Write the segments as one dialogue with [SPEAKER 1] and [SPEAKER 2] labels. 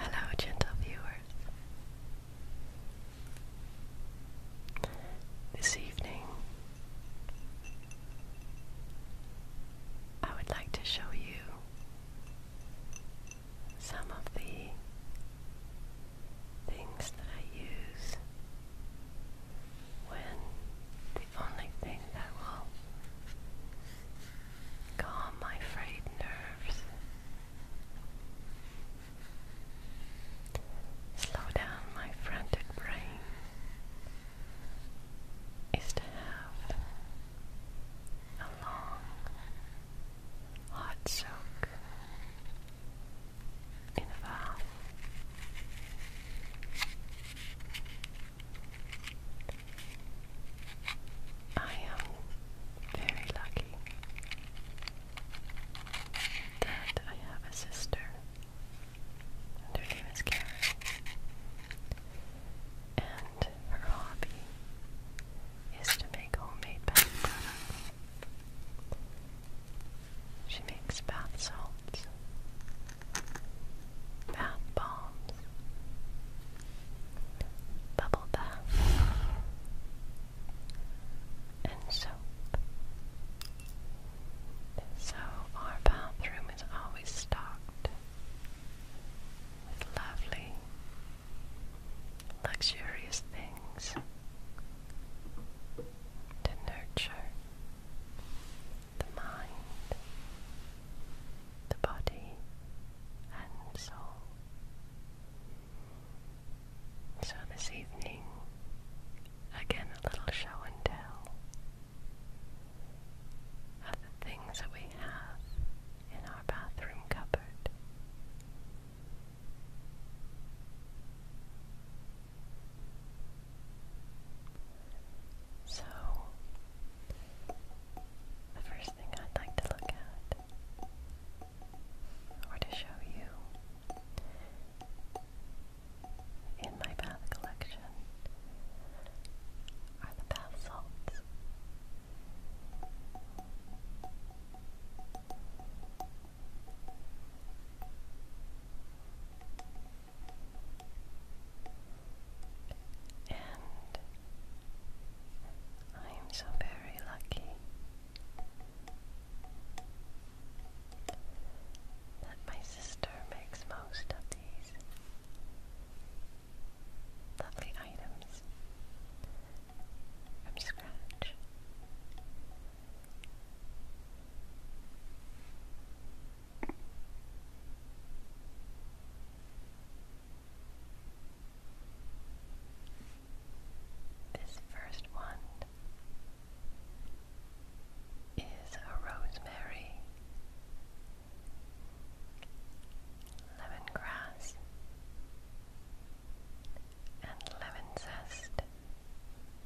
[SPEAKER 1] Hello, gentle viewers. This evening, I would like to show you some of the things that I use when the only thing that will calm my frayed nerves, slow down my frantic brain, is to have a long hot soak in a bath. I am very lucky that I have a sister. her name is Karen. And her hobby is to make homemade bath products. She makes bath salts, bath bombs, bubble bath, and soap. So our bathroom is always stocked with lovely luxurious things to nurture the mind, the body, and soul. So, this evening, again a little show and tell of the things that we have in our bathroom cupboard. So, the first thing I'd like to look at or to show you in my bath collection are the bath salts. And I am so very lucky that my sister makes most of these lovely items from scratch. This first one is a rosemary Lemon grass and lemon zest,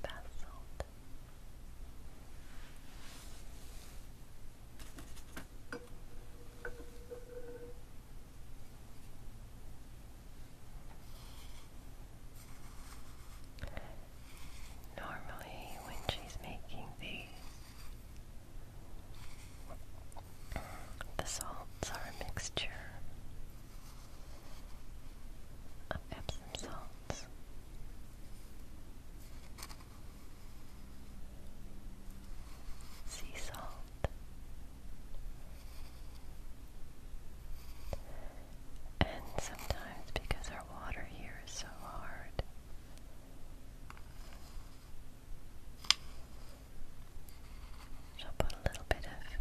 [SPEAKER 1] bath salt. Normally, when she's making these, the salts are a mixture of Epsom salts. Sea salt and sometimes because our water here is so hard, so I'll put a little bit of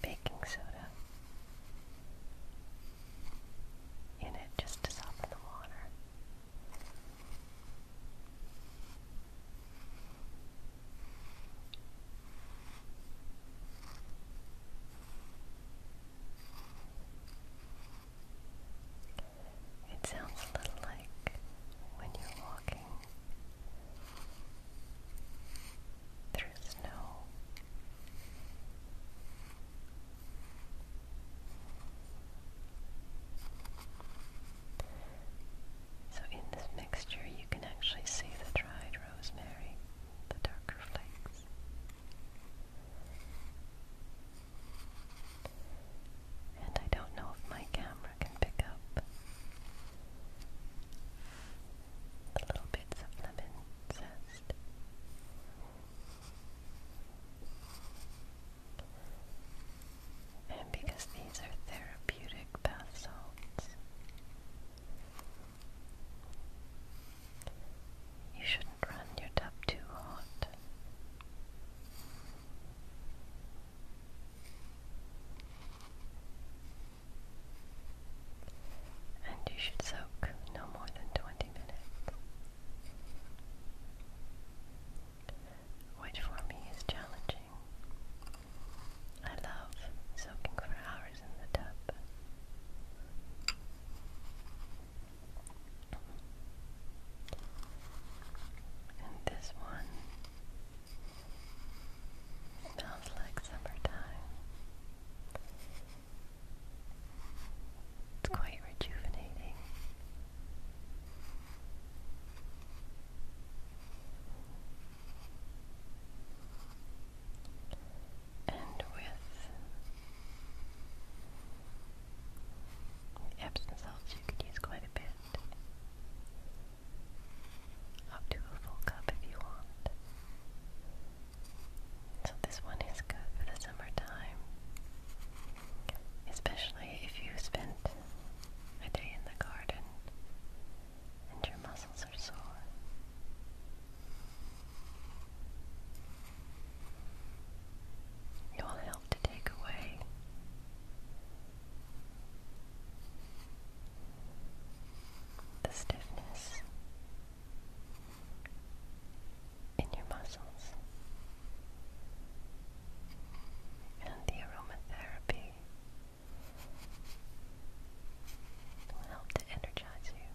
[SPEAKER 1] baking soda in it just to soften the water. It sounds a little like when you're walking through snow. So, in this mixture, you can actually see the dried rosemary, the darker flakes. And I don't know if my camera can pick up the little bits of lemon zest. And because these are therapeutic bath salts, you should run your tub too hot. And you should soak no more than 20 minutes. Which for me is challenging. I love soaking for hours in the tub. And this one smells like summertime. It's quite rejuvenating. And with Epsom salts you could use quite a bit. Up to a full cup if you want. So this one is good for the summertime. Especially if you spent a day in the garden and your muscles are sore. You will help to take away the stiffness in your muscles. And the aromatherapy will help to energize you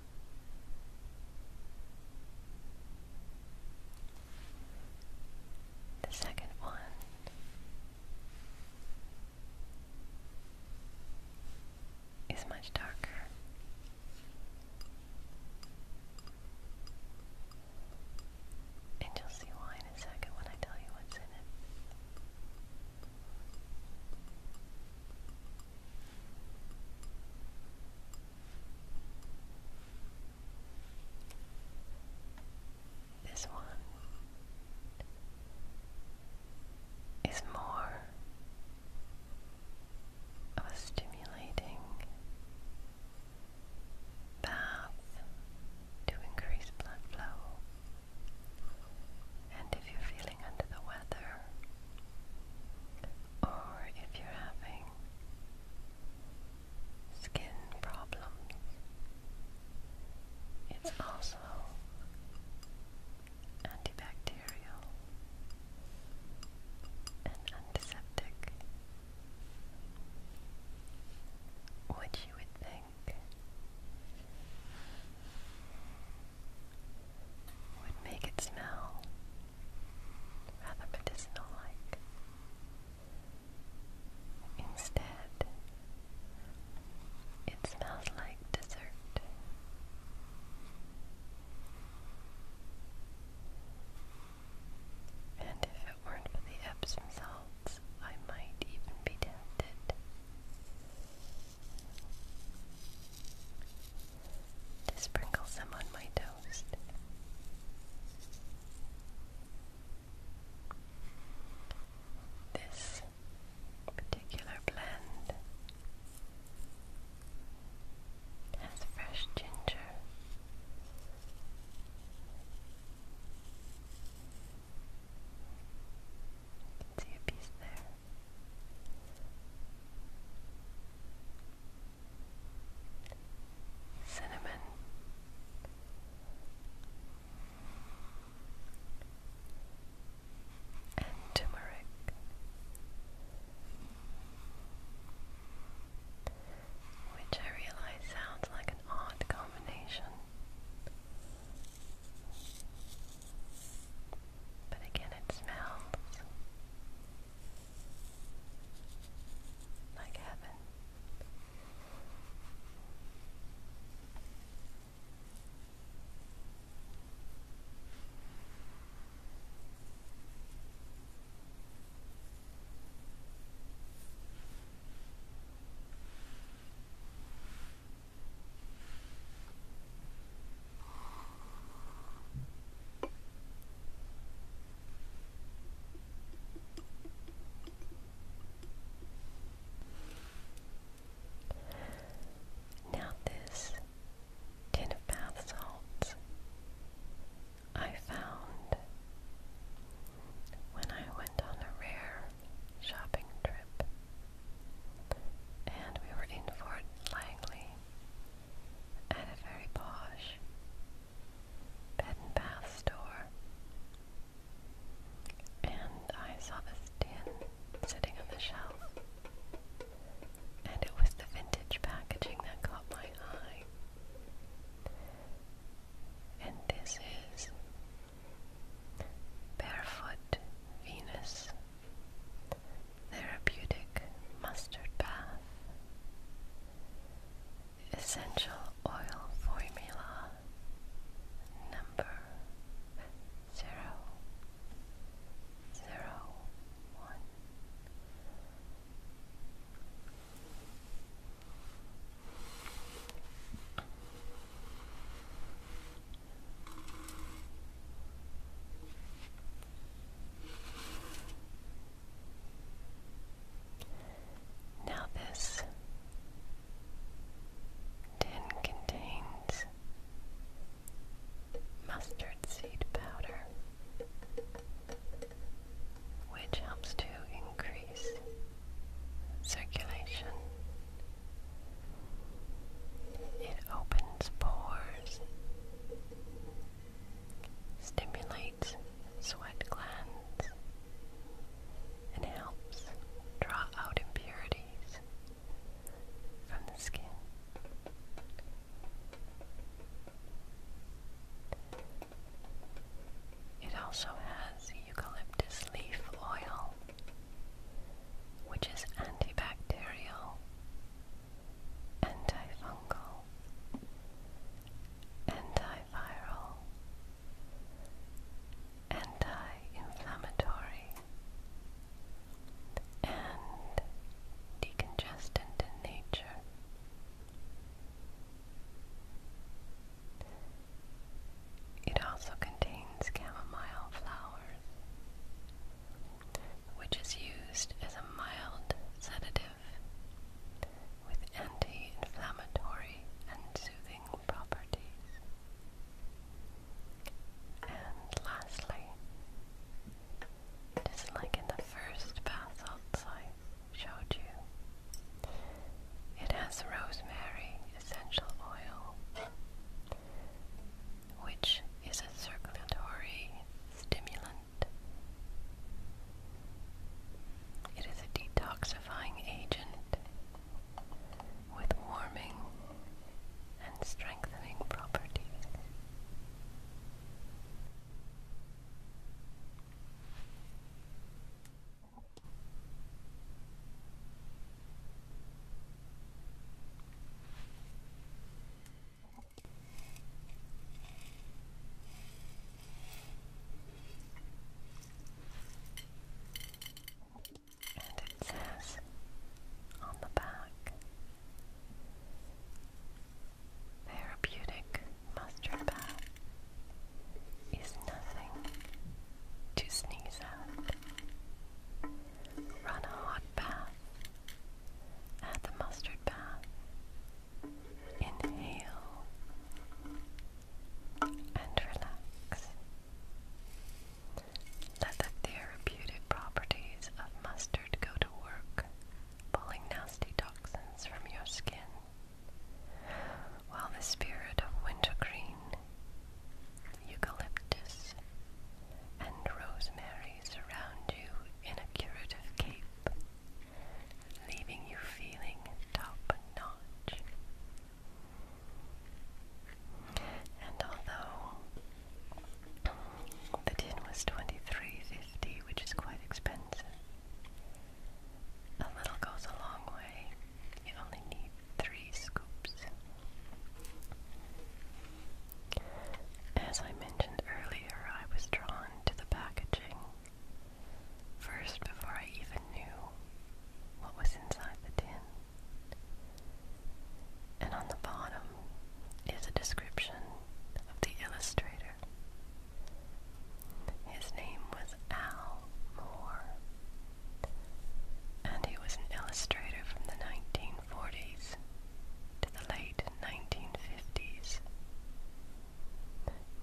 [SPEAKER 1] The second one is much darker. And you'll see why in a second when I tell you what's in it. This one is more of a stimulating bath to increase blood flow. And if you're feeling under the weather, or if you're having skin problems, it's also antibacterial and antiseptic, which you would think would make it smell rather medicinal like. Instead, it smells like dessert. And if it weren't for the Epsom salts, I might even be tempted to sprinkle some on my toast. This particular blend has fresh ginger. can see a piece there cinnamon, and turmeric. Which I realize sounds like an odd combination, but again, it smells like heaven. Now, this tin of bath salts I found when I went on a rare shopping trip and we were in Fort Langley at a very posh bed and bath store. And I saw this tin sitting on the shelf. And it was the vintage packaging that caught my eye. And this is Barefoot Venus Therapeutic mustard bath. Essential oil formula number zero zero one. Now, this tin contains mustard seed powder, which helps to increase circulation. It opens pores stimulates sweat glands, and helps draw out impurities from the skin. It also has eucalyptus leaf oil, which is antibacterial antifungal, antiviral, anti-inflammatory, and decongestant in nature. It also contains chamomile flowers which is used as a mild sedative with anti inflammatory and soothing properties. And lastly, just like in the first bath salts I showed you, it has rosemary essential oil which is a circulatory stimulant. It is a detoxifying agent with warming and strengthening properties. And it says on the back therapeutic mustard bath is nothing to sneeze at. Run a hot bath Add the mustard bath. Inhale and relax. Let the therapeutic properties of mustard go to work, pulling nasty toxins from your skin, while the spirit of wintergreen eucalyptus, and rosemary surround you in a curative cape, leaving you feeling top notch. And although the tin was 23 which is quite expensive, a little goes a long way. You only need three scoops. As I mentioned earlier, I was drawn to the packaging first before I even knew what was inside the tin. And on the bottom is a description of the illustrator. His name was Al Moore, and he was an illustrator from the 1940s to the late 1950s.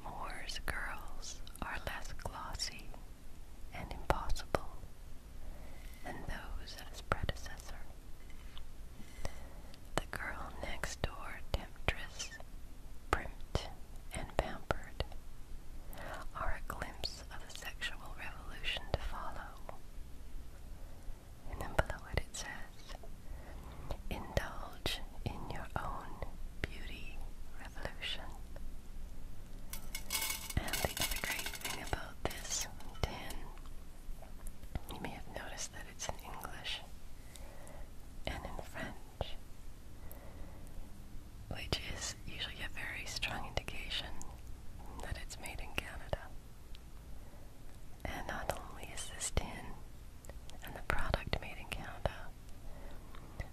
[SPEAKER 1] Moore's girls are less glossy and impossible than those of his predecessor. The girl next door temptress, primped and pampered, are a glimpse of a sexual revolution to follow. And then below it it says, indulge in your own beauty revolution. And the other great thing about this tin, you may have noticed that it's in English and in French, which is usually a very strong indication that it's made in Canada. And not only is this tin and the product made in Canada,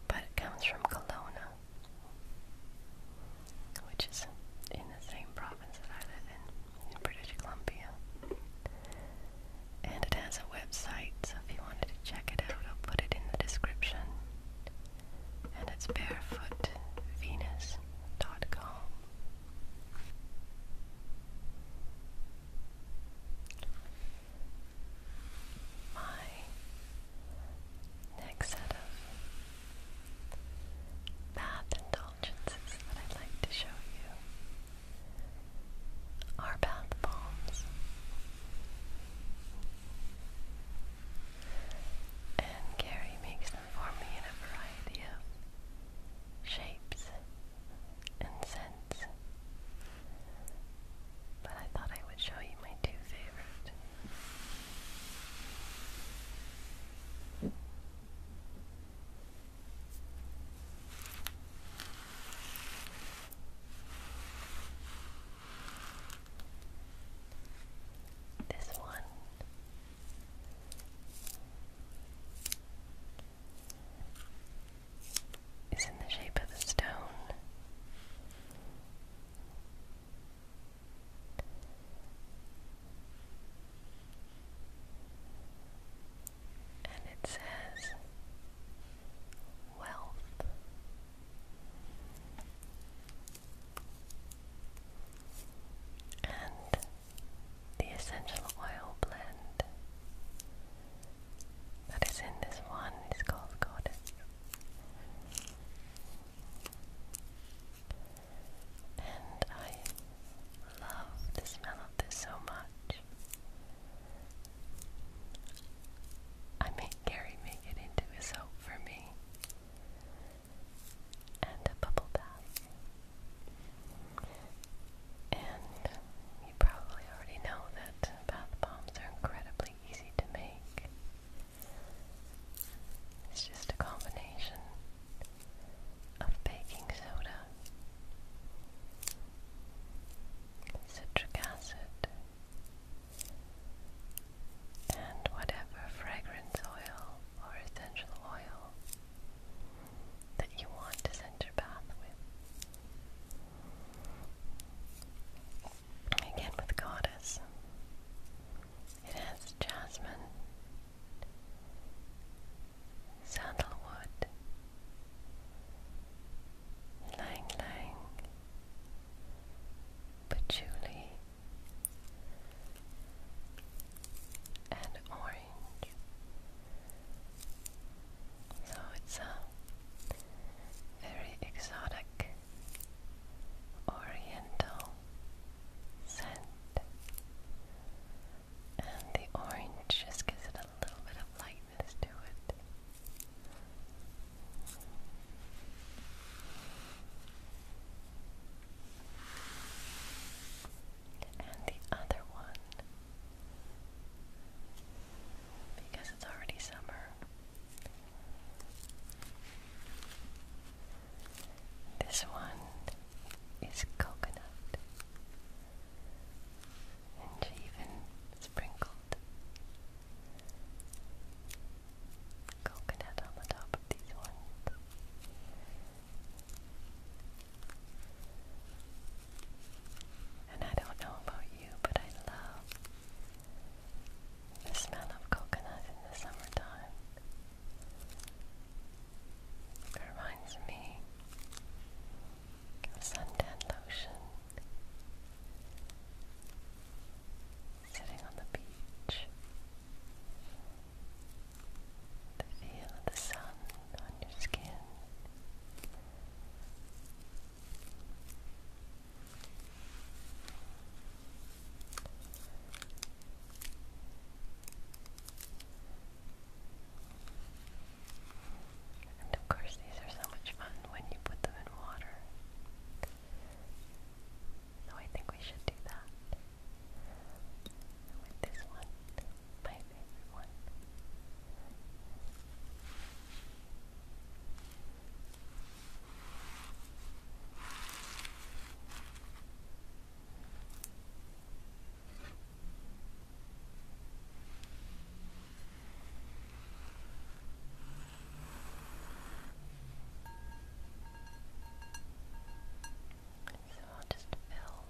[SPEAKER 1] but it comes from Kelowna, which is in the same province that I live in, in British Columbia. And it has a website, so if you wanted to check it out, I'll put it in the description. And it's dot com. My next set of bath indulgences that I'd like to show you are bath bombs. And Gary makes for me in a variety of shapes and scents. But I thought I would show you my two favorite. This one is in the shape of a stone. And it says wealth. And the essential oil blend that is in this one is called Goddess. And I love the smell of this so much. I made Gary make it into a soap for me and a bubble bath. And you probably already know that bath bombs are incredibly easy to make. It's just a combination of baking soda, citric acid, and whatever fragrance oil or essential oil that you want to scent your bath with. Again with Goddess, it has jasmine, sandalwood, lang patchouli and orange. So it's a very exotic oriental scent, and the orange just gives it a little bit of lightness to it and the other one because it's already summer. This one is coconut, and she even sprinkled coconut on the top of these ones. And I don't know about you, but I love the smell of coconut in the summertime. reminds me of suntan lotion. Sitting on the beach feel the sun on your skin. And of course, these are so much fun when you put them in water. So I think we should do that with this one, my favorite one. So I'll just fill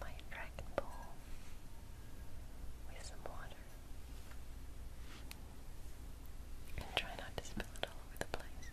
[SPEAKER 1] my dragon bowl with some water and try not to spill it all over the place.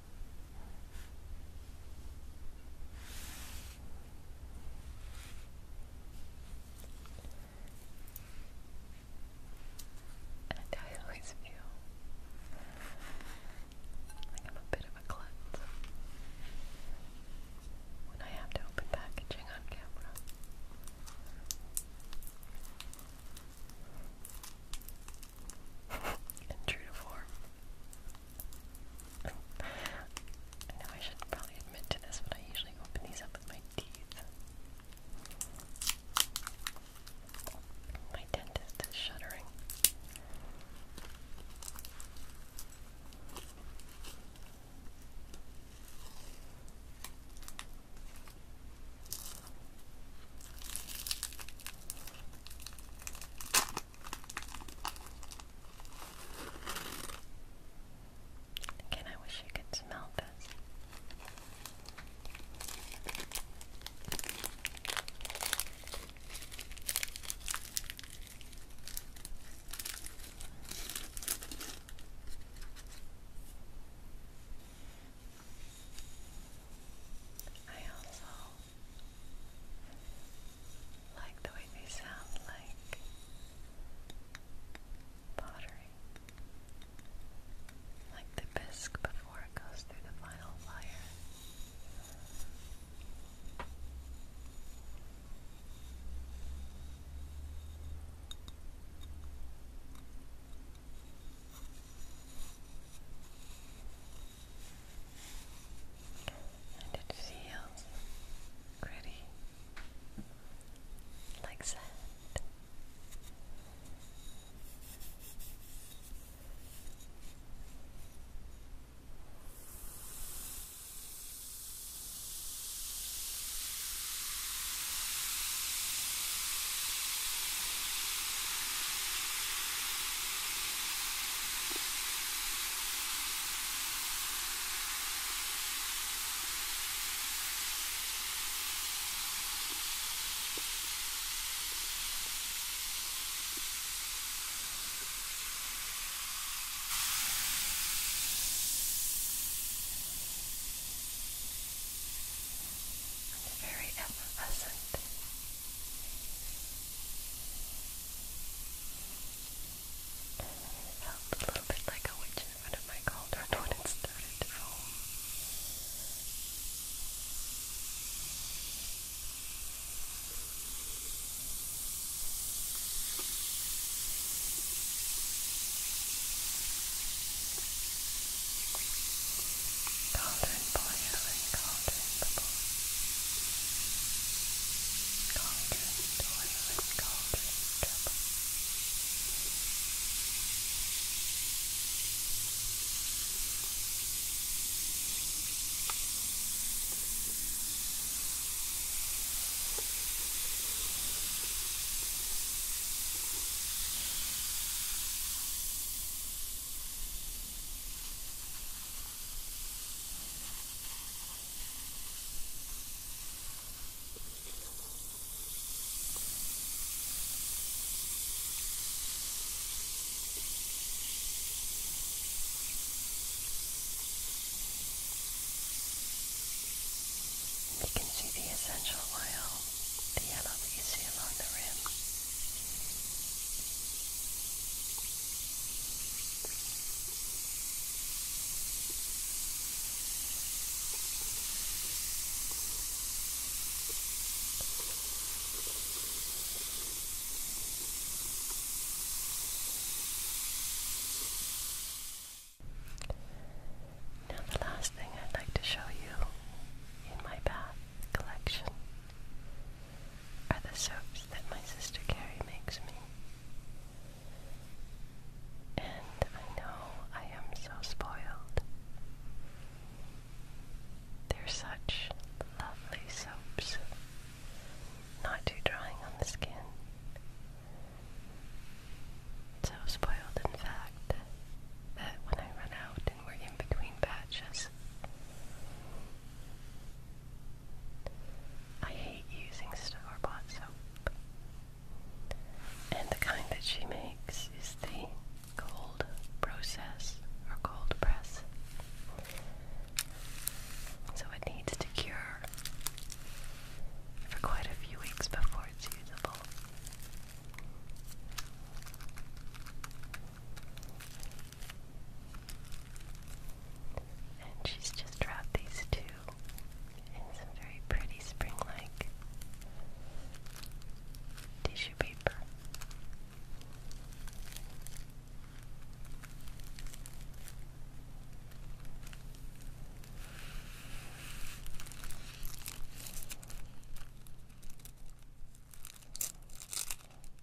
[SPEAKER 1] And I always feel like I'm a bit of a klutz when I have to open packaging on camera. and true to form, I know I should probably admit to this, but I usually open these up with my teeth. My dentist is shuddering. Again, I wish you could smell this. I also like the way they sound like pottery. Like the bisque before it goes through the final wire and it feels pretty like that. It's very effervescent. It felt a little bit like a witch in front of my cauldron when it started to foam. Calder and boil and calder and bubble. Calder and oil and calder and trouble. Calder and you can see the essential oil, the yellow that you see along the rim. Now, the last thing I'd like to show you in my bath collection are the soaps that my sister Carrie makes me. And I know I am so spoiled. They're such lovely soaps, not too drying on the skin. So spoiled, in fact, that when I run out and we're in between batches, I hate using store-bought soap. And the kind that she makes is the cold process or cold press. So it needs to cure for quite a few weeks before it's usable. And she's just dropped these two in some very pretty spring like tissue paper.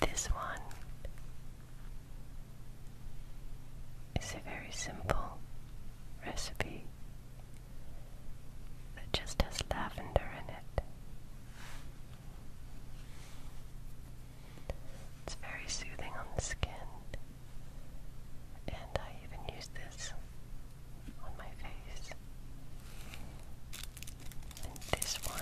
[SPEAKER 1] This one is a very simple recipe that just has lavender in it. It's very soothing on the skin, and I even use this on my face this one.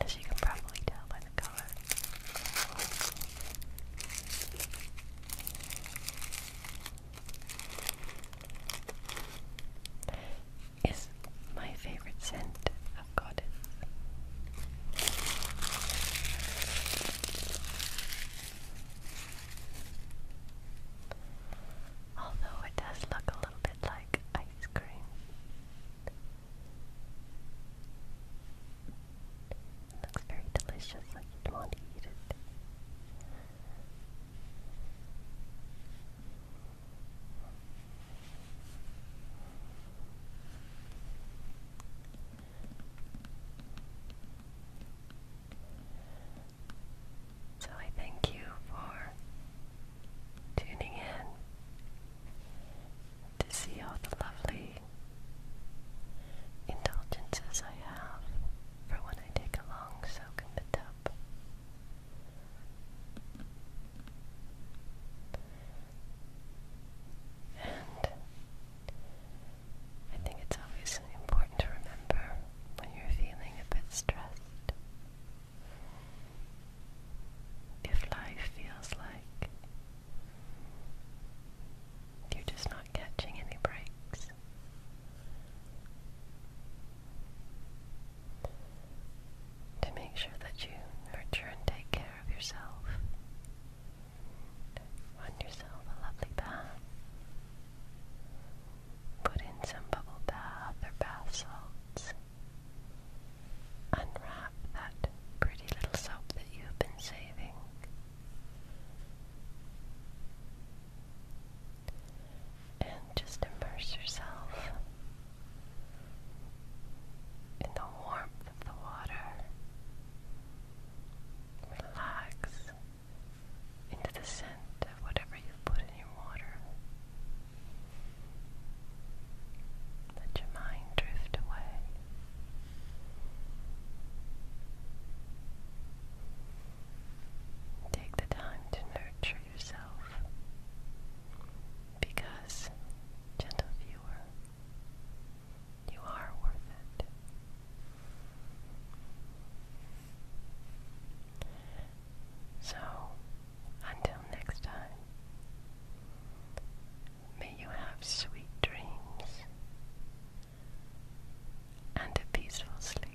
[SPEAKER 1] As you can probably tell by the color is my favorite scent of Goddess. Although it does look a little bit like ice cream. looks very delicious, like you'd want to eat it. So I thank you for tuning in to see all the lovely indulgences I have for when I take a long soak in the tub. And I think it's always important to remember when you're feeling a bit stressed. If life feels like you're just not catching any breaks, to make sure that you nurture and take care of yourself. Run yourself a lovely bath. Put in some bubble bath or bath salts. Unwrap that pretty little soap that you've been saving and just immerse yourself in the warmth of the water. Relax into the scent of whatever you put in your water. Let your mind drift away. Take the time to nurture yourself. Because, gentle viewer, you are worth it. So, until next time, may you have sweet dreams and a peaceful sleep.